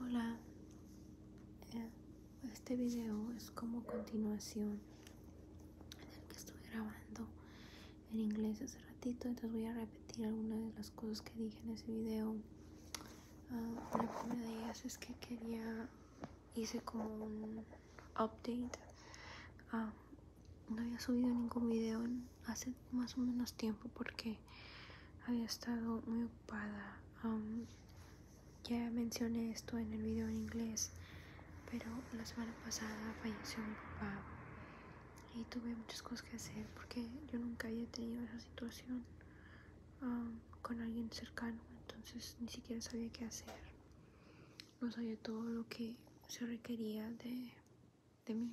Hola, eh, este video es como continuación el que estuve grabando en inglés hace ratito, entonces voy a repetir algunas de las cosas que dije en ese video. Ah, la primera es que quería, hice como un update. Ah, no había subido ningún video hace más o menos tiempo porque había estado muy ocupada. ya mencioné esto en el video en inglés, pero la semana pasada falleció mi papá y tuve muchas cosas que hacer porque yo nunca había tenido esa situación con alguien cercano, entonces ni siquiera sabía qué hacer. No sabía todo lo que se requería de, de mí,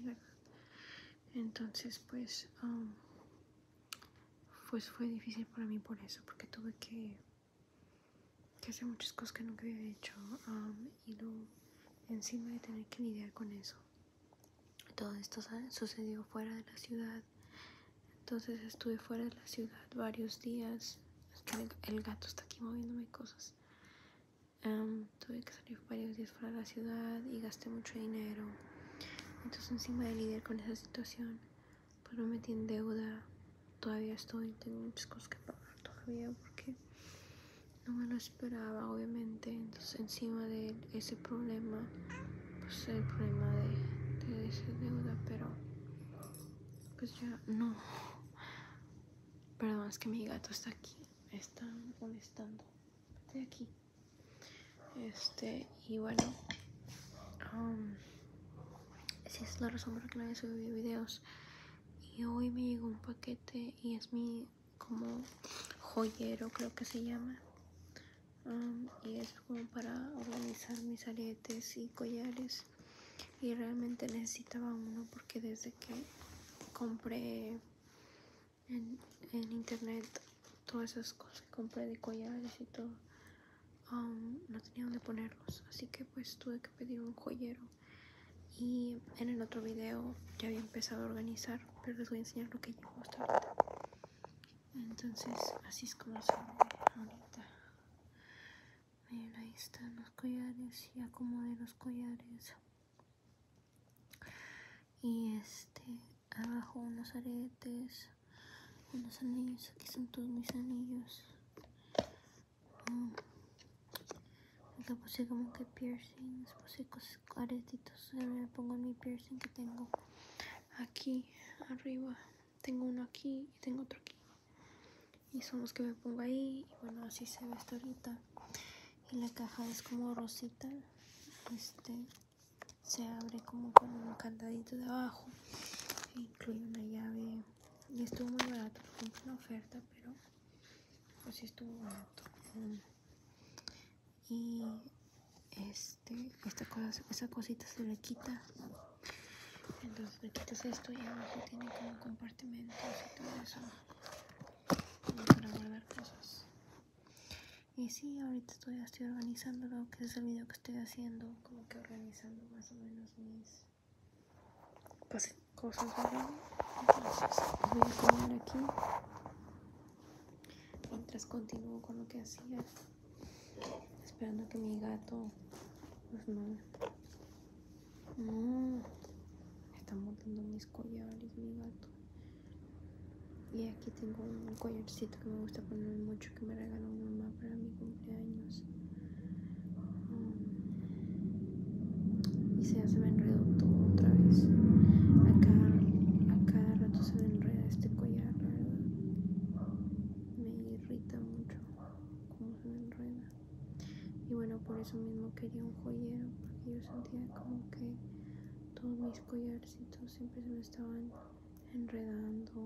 Entonces, pues pues fue difícil para mí por eso, porque tuve que, hacer muchas cosas que nunca había hecho y luego encima de tener que lidiar con eso. Todo esto sucedió fuera de la ciudad, entonces estuve fuera de la ciudad varios días. el gato está aquí moviéndome cosas. tuve que salir varios días fuera de la ciudad y gasté mucho dinero. Entonces encima de lidiar con esa situación, pues no me metí en deuda. Todavía estoy, tengo muchas cosas que pagar todavía porque no me lo esperaba, obviamente. Entonces encima de ese problema, pues el problema de, de esa deuda, pero pues ya no. Perdón, es que mi gato está aquí, está molestando. Estoy aquí. Este, y bueno, um, si es la razón por la que no he subido videos. Y hoy me llegó un paquete y es mi como joyero, creo que se llama. Um, y es como para organizar mis aretes y collares. Y realmente necesitaba uno porque desde que compré en internet todas esas cosas que compré de collares y todo, no tenía dónde ponerlos. Así que pues tuve que pedir un joyero. Y en el otro video ya había empezado a organizar, pero les voy a enseñar lo que llevo hasta ahorita. Entonces así es como se ahorita. Miren, ahí están los collares, Y acomodé los collares. Y este, abajo unos aretes, unos anillos, aquí son todos mis anillos. Mm. Acá puse como que piercings, puse cosas, aretitos, me pongo mi piercing que tengo aquí arriba, tengo uno aquí y tengo otro aquí. Y son los que me pongo ahí, y bueno, así se ve hasta ahorita. Y la caja es como rosita, este, se abre como con un candadito de abajo incluye una llave y estuvo muy barato fue una oferta pero pues estuvo barato y este esta cosa esa cosita se le quita entonces le quitas esto y abajo tiene como compartimentos y todo eso para guardar cosas y sí, ahorita estoy organizando lo que es el video que estoy haciendo, como que organizando más o menos mis pues, cosas, Entonces voy a poner aquí mientras continúo con lo que hacía, esperando que mi gato pues no. No, me están mis collares, mi gato. Y aquí tengo un collarcito que me gusta poner mucho que me regaló mi mamá para mi cumpleaños. y se me enredó todo otra vez. A cada, rato se me enreda este collar, Me irrita mucho cómo se me enreda. Y bueno, por eso mismo quería un joyero, porque yo sentía como que todos mis collarcitos siempre se me estaban enredando.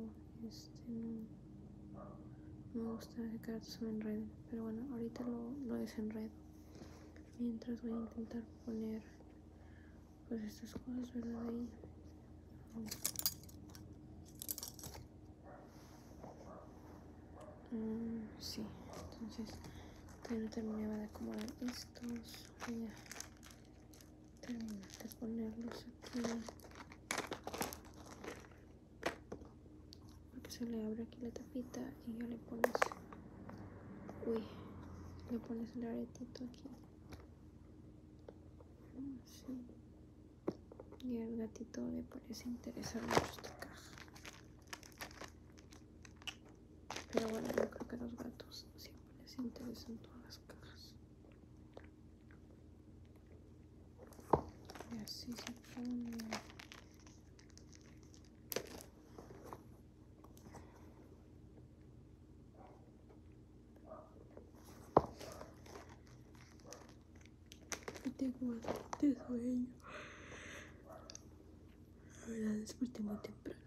Este no, me gusta que carácter se me enrede. Pero bueno, ahorita lo, desenredo. Mientras voy a intentar poner pues estas cosas, ¿verdad? Ahí. Mm, sí, entonces todavía no terminaba de acomodar estos de ponerlos aquí porque se le abre aquí la tapita y ya le pones uy le pones el aretito aquí mm, y al gatito le parece Interesante mucho esta caja pero bueno yo creo que a los gatos siempre les interesan todas las cajas y así se pone. Y tengo bastante sueño. verdad desperté muy temprano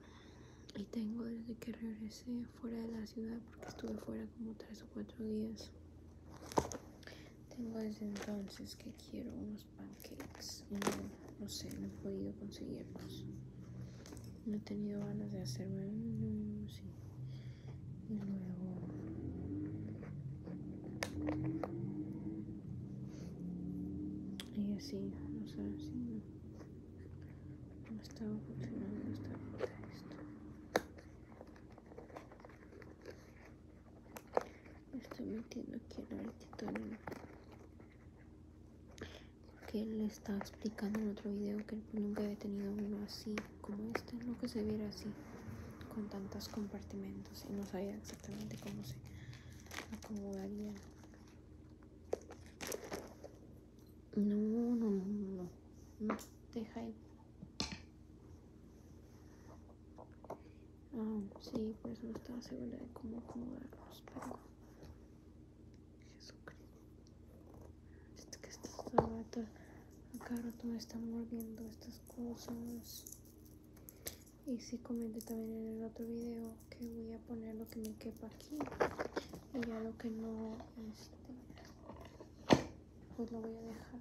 y tengo desde que regresé fuera de la ciudad porque estuve fuera como tres o cuatro días tengo desde entonces que quiero unos pancakes no, sé no he podido conseguirlos no he tenido ganas de hacerme sí. y luego y así no sé así no no estaba funcionando esta ruta esto me estoy metiendo aquí en el titanio porque él estaba explicando en otro video que nunca había tenido uno así como este no que se viera así con tantos compartimentos y no sabía exactamente cómo se acomodaría no, no, no, no, no. deja ahí. Ah, sí, pues no estaba segura de cómo acomodarlos, pero. Jesucristo. Es que acá me están mordiendo estas cosas. Y sí comenté también en el otro video que voy a poner lo que me quepa aquí. Y ya lo que no, este, pues lo voy a dejar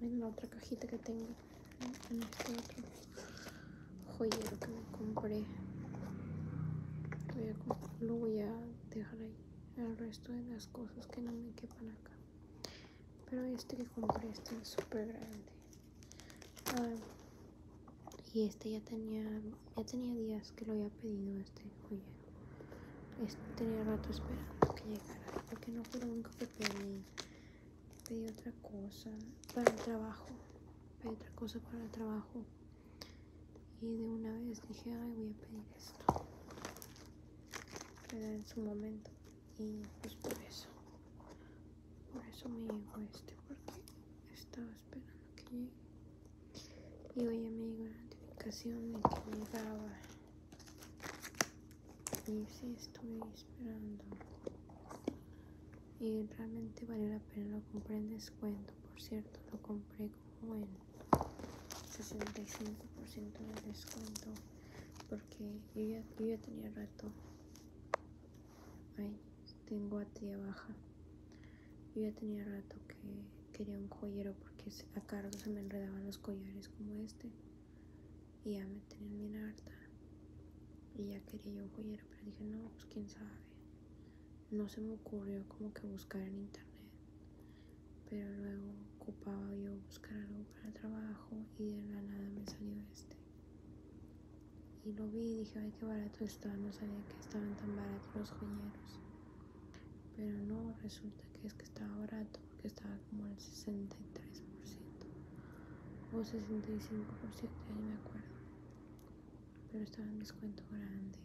en la otra cajita que tengo en este otro joyero que me compré lo voy a dejar ahí el resto de las cosas que no me quepan acá pero este que compré está es súper grande ah, y este ya tenía ya tenía días que lo había pedido este joyero. tenía rato esperando que llegara, porque no fue lo único que pedí. Pedí otra cosa para el trabajo. Pedí otra cosa para el trabajo. Y de una vez dije, ay, voy a pedir esto. en su momento. Y pues por eso. Por eso me llegó este, porque estaba esperando que llegue. Y hoy ya me llegó la notificación de que llegaba. Y si estoy esperando. Y realmente vale la pena, lo compré en descuento, por cierto, lo compré como en 65% de descuento. Porque yo ya, tenía rato. ahí tengo a tía baja yo ya tenía rato que quería un joyero porque a cargo se me enredaban los collares como este. Y ya me tenían bien harta. Y ya quería yo un joyero, pero dije, no, pues quién sabe. No se me ocurrió como que buscar en internet. Pero luego ocupaba yo buscar algo para el trabajo y de la nada me salió este. Y lo vi y dije, ay, qué barato está. No sabía que estaban tan baratos los joyeros pero no resulta que es que estaba barato porque estaba como al 63% o 65% ya no me acuerdo pero estaba en descuento grande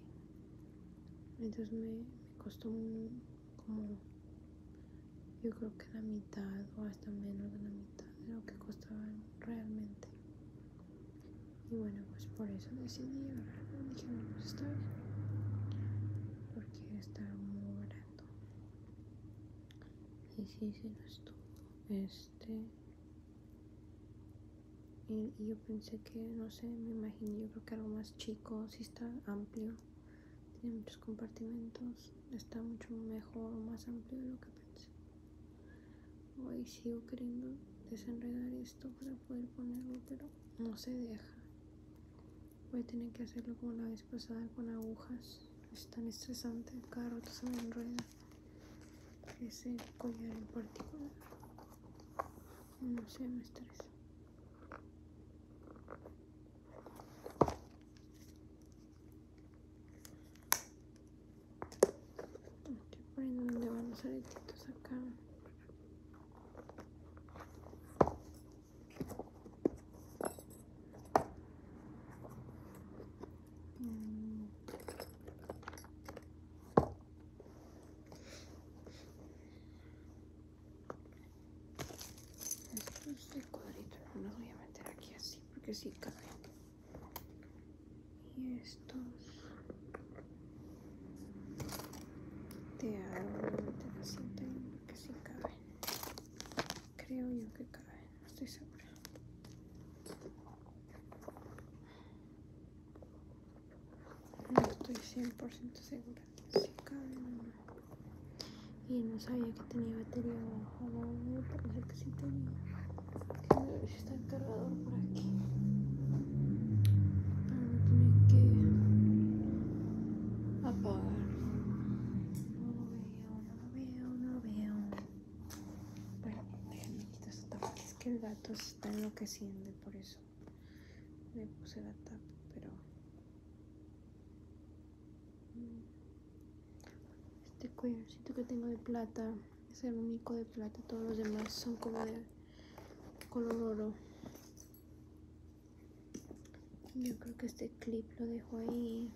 entonces me, costó como yo creo que la mitad o hasta menos de la mitad de lo que costaba realmente y bueno pues por eso decidí ahora dije bueno, pues está porque está muy barato y sí se lo estuvo este y, yo pensé que no sé me imaginé yo creo que algo más chico si está amplio tiene muchos compartimentos está mucho mejor más amplio de lo que pensé hoy sigo queriendo desenredar esto para poder ponerlo pero no se deja. Voy a tener que hacerlo como la vez pasada con agujas. Es tan estresante, cada rato se me enreda ese collar en particular. No sé, me estresa. Estoy poniendo donde van los aretitos acá es de cuadrito no lo voy a meter aquí así porque sí cabe. Y es estos te hago de la que si caben creo yo que caben no estoy segura no estoy 100% segura si caben o no y no sabía que tenía batería o no, pero sé que sí tenía que está cargado por aquí para no tener que apagar no lo veo, no lo veo, no lo veo bueno, quitar esta tapa es que el gato se está enloqueciendo por eso le puse la tapa pero este collarcito que tengo de plata es el único de plata todos los demás son como de color oro yo creo que este clip lo dejo ahí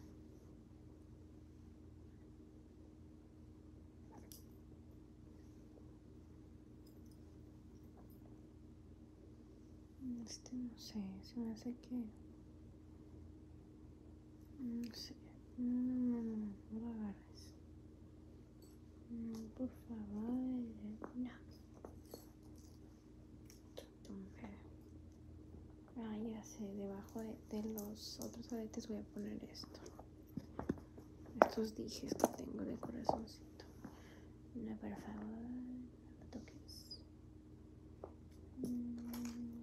este no sé se me hace que no sé no no no no lo agarres Mm, por favor, no. Ah, ya sé, debajo de, de los otros aretes voy a poner esto. Estos dijes que tengo de corazoncito. No, por favor, no toques. Mm,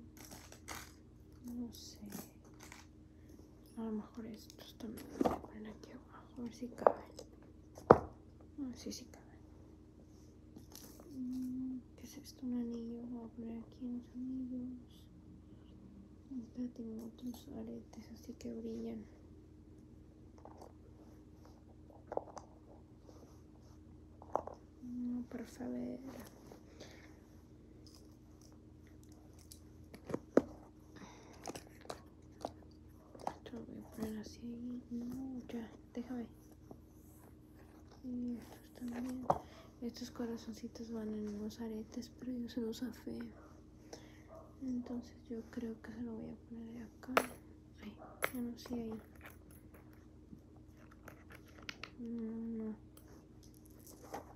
no sé. A lo mejor estos también voy a poner aquí a ver si cabe. si sí cabe. Mm, ¿Qué es esto? Un anillo. Voy a poner aquí unos anillos. ahorita tengo otros aretes así que brillan. No, para saber esto lo voy a poner así No, ya, déjame. Y estos también. Estos corazoncitos van en unos aretes, pero yo se los feo. Entonces yo creo que se lo voy a poner acá. Ahí, ya no ahí. No,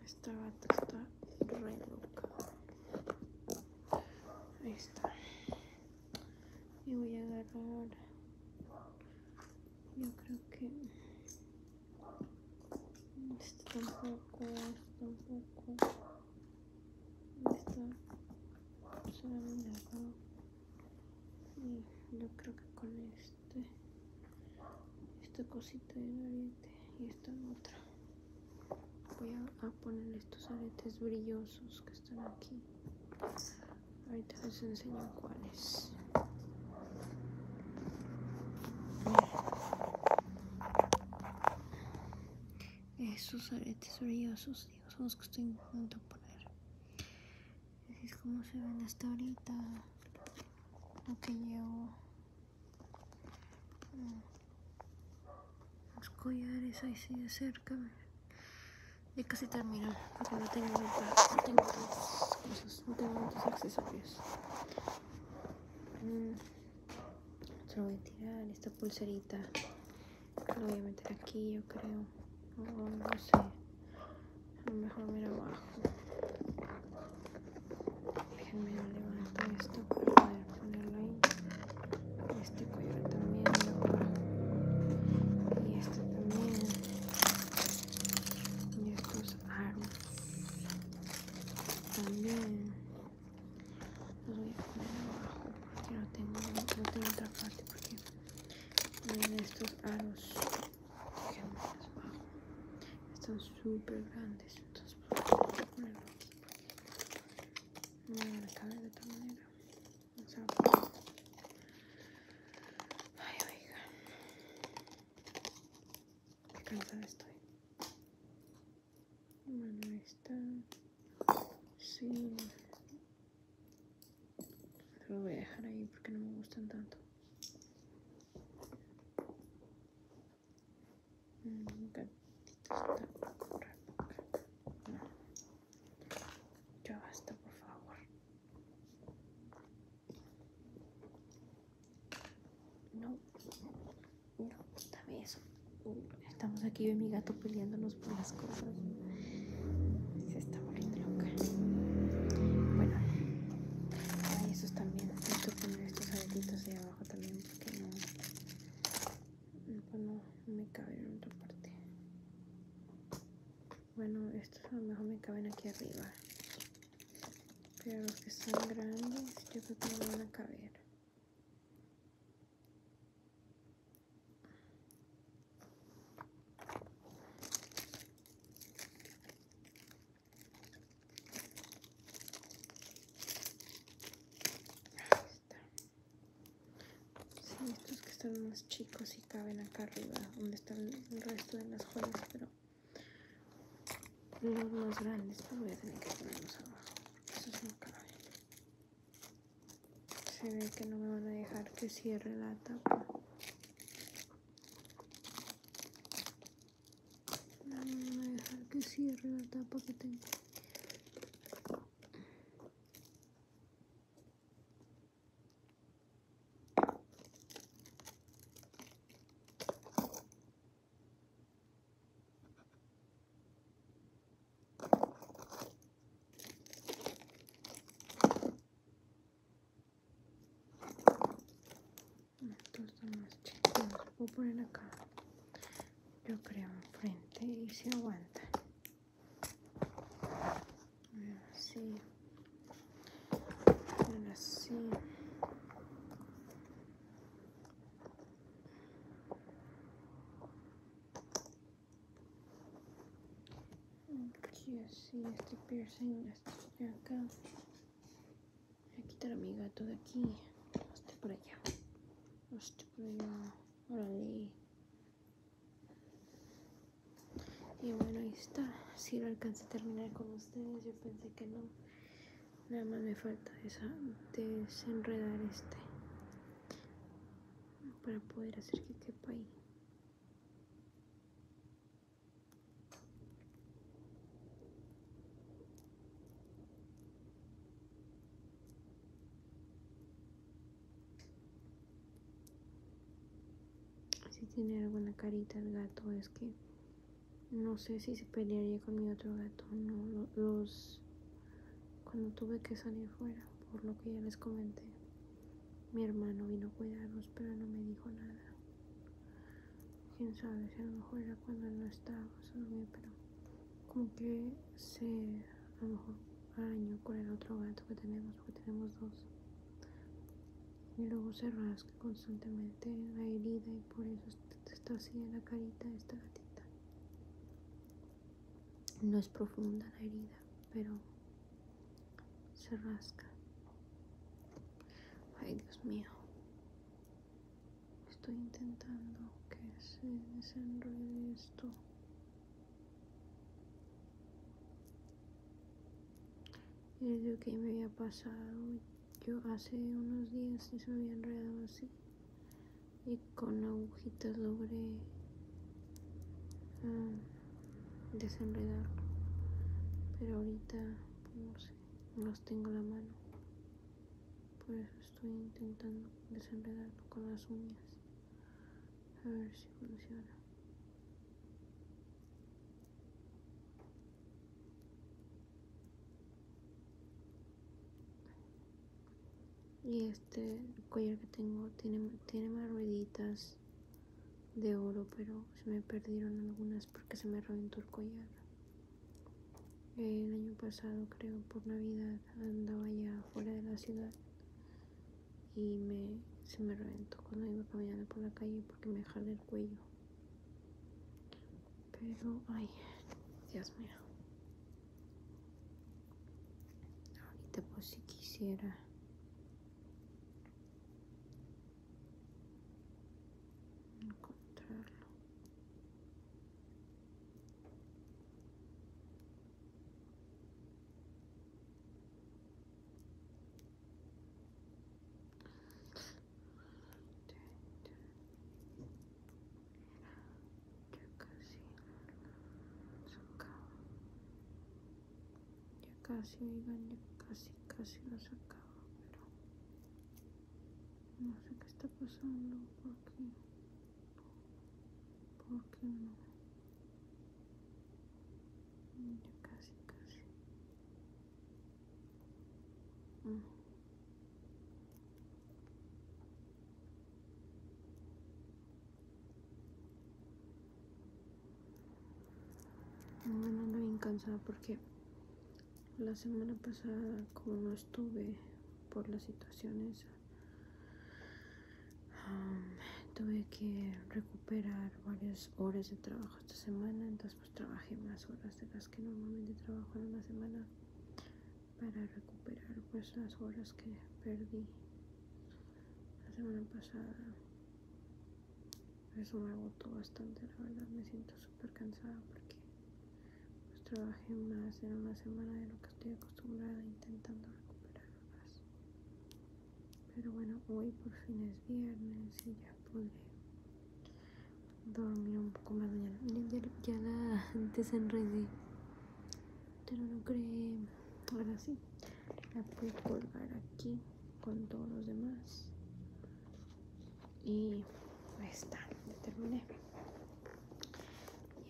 Esta gata está re loca. Ahí está. Y voy a agarrar. ahora. Yo creo que. Este tampoco, este tampoco. Esta solamente acá. Y yo creo que con este. Esta cosita de oriente y esta otra voy a, poner estos aretes brillosos que están aquí ahorita les enseño cuáles esos aretes brillosos son los que estoy intentando poner así es como se ven hasta ahorita lo que llevo mm. Los collares ahí sí de cerca. Ya casi termino porque no tengo muchas, no tengo muchos accesorios. Mm. Se lo voy a tirar, esta pulserita. Lo voy a meter aquí, yo creo. no sé. A lo mejor mira abajo. Déjenme levantar esto para ponerlo ahí este collar también y este también y estos aros también los voy a poner abajo porque no tengo, otra parte porque miren estos aros que están súper grandes entonces pues, voy a ponerlo aquí no mm, me a cabe de otra manera o sea ay oiga qué cansada estoy bueno ahí está sí lo voy a dejar ahí porque no me gustan tanto mm, okay. Ya basta, por favor. No, no, dame eso. Estamos aquí yo mi gato peleándonos por las cosas. Se está volviendo loca. Bueno, hay esos también. Necesito poner estos aretitos de abajo también porque no bueno pues no, me caben en otra parte bueno estos a lo mejor me caben aquí arriba pero los que son grandes yo creo que no van a caber Ahí Sí, estos que están más chicos y caben acá arriba, donde están el resto de las joyas, pero los más grandes los pues, voy a tener que ponerlos abajo, Se ve que no me van a dejar que cierre la tapa. No me van a dejar que cierre la tapa que tengo. Estos son más chicos, los puedo poner acá, yo creo enfrente y se aguanta. A Así. Así. Aquí así, este piercing, este de acá. Voy a quitar a mi gato de aquí. Este por allá. Este por allá. Órale. Y bueno, ahí está. Si lo alcancé a terminar con ustedes, yo pensé que no. Nada más me falta desenredar este para poder hacer que quepa ahí. Si tiene alguna carita el gato, es que no sé si se pelearía con mi otro gato. No, los. Cuando tuve que salir fuera, por lo que ya les comenté, mi hermano vino a cuidarlos, pero no me dijo nada. Quién sabe si a lo mejor era cuando no estaba, solo, pero como que se. A lo mejor año con el otro gato que tenemos, porque tenemos dos. Y luego se rasca constantemente la herida y por eso está así en la carita esta gatita. No es profunda la herida, pero se rasca. Ay, Dios mío. Estoy intentando que se desenrolle esto. Es lo que me había pasado yo hace unos días y se me había enredado así. Y con agujitas logré ah, desenredarlo. Pero ahorita no los tengo en la mano. Por eso estoy intentando desenredarlo con las uñas. A ver si funciona. Y este collar que tengo tiene, más rueditas de oro, pero se me perdieron algunas porque se me reventó el collar. El año pasado, creo, por Navidad, andaba ya fuera de la ciudad y me, se me reventó cuando iba caminando por la calle porque me jalé el cuello. Pero, ay, Dios mío. Ahorita pues si quisiera. encontrarlo ya casi lo sacaba. Ya casi, oigan, ya casi, casi lo sacaba, pero no sé qué está pasando porque porque no casi, casi. me ando bien cansada porque la semana pasada como no estuve por las situaciones tuve que recuperar varias horas de trabajo esta semana, entonces pues trabajé más horas de las que normalmente trabajo en una semana para recuperar pues las horas que perdí la semana pasada. Eso me agotó bastante, la verdad me siento súper cansada porque pues trabajé más en una semana de lo que estoy acostumbrada intentando recuperar más pero bueno, hoy por fin es viernes y ya podré dormir un poco más. mañana ya, ya la desenredé. Pero no creé Ahora sí, la puedo colgar aquí con todos los demás. Y ahí está, ya terminé.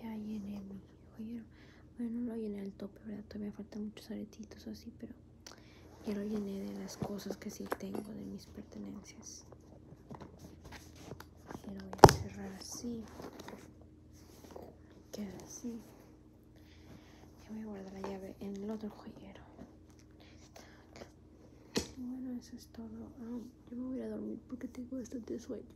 Ya llené mi joyero. Bueno, no lo llené al tope, ¿verdad? Todavía faltan muchos aretitos así, pero ya lo llené de las cosas que sí tengo, de mis pertenencias. Y lo voy a cerrar así. Queda así. Ya voy a guardar la llave en el otro joyero. Bueno, eso es todo. yo me voy a dormir porque tengo bastante sueño.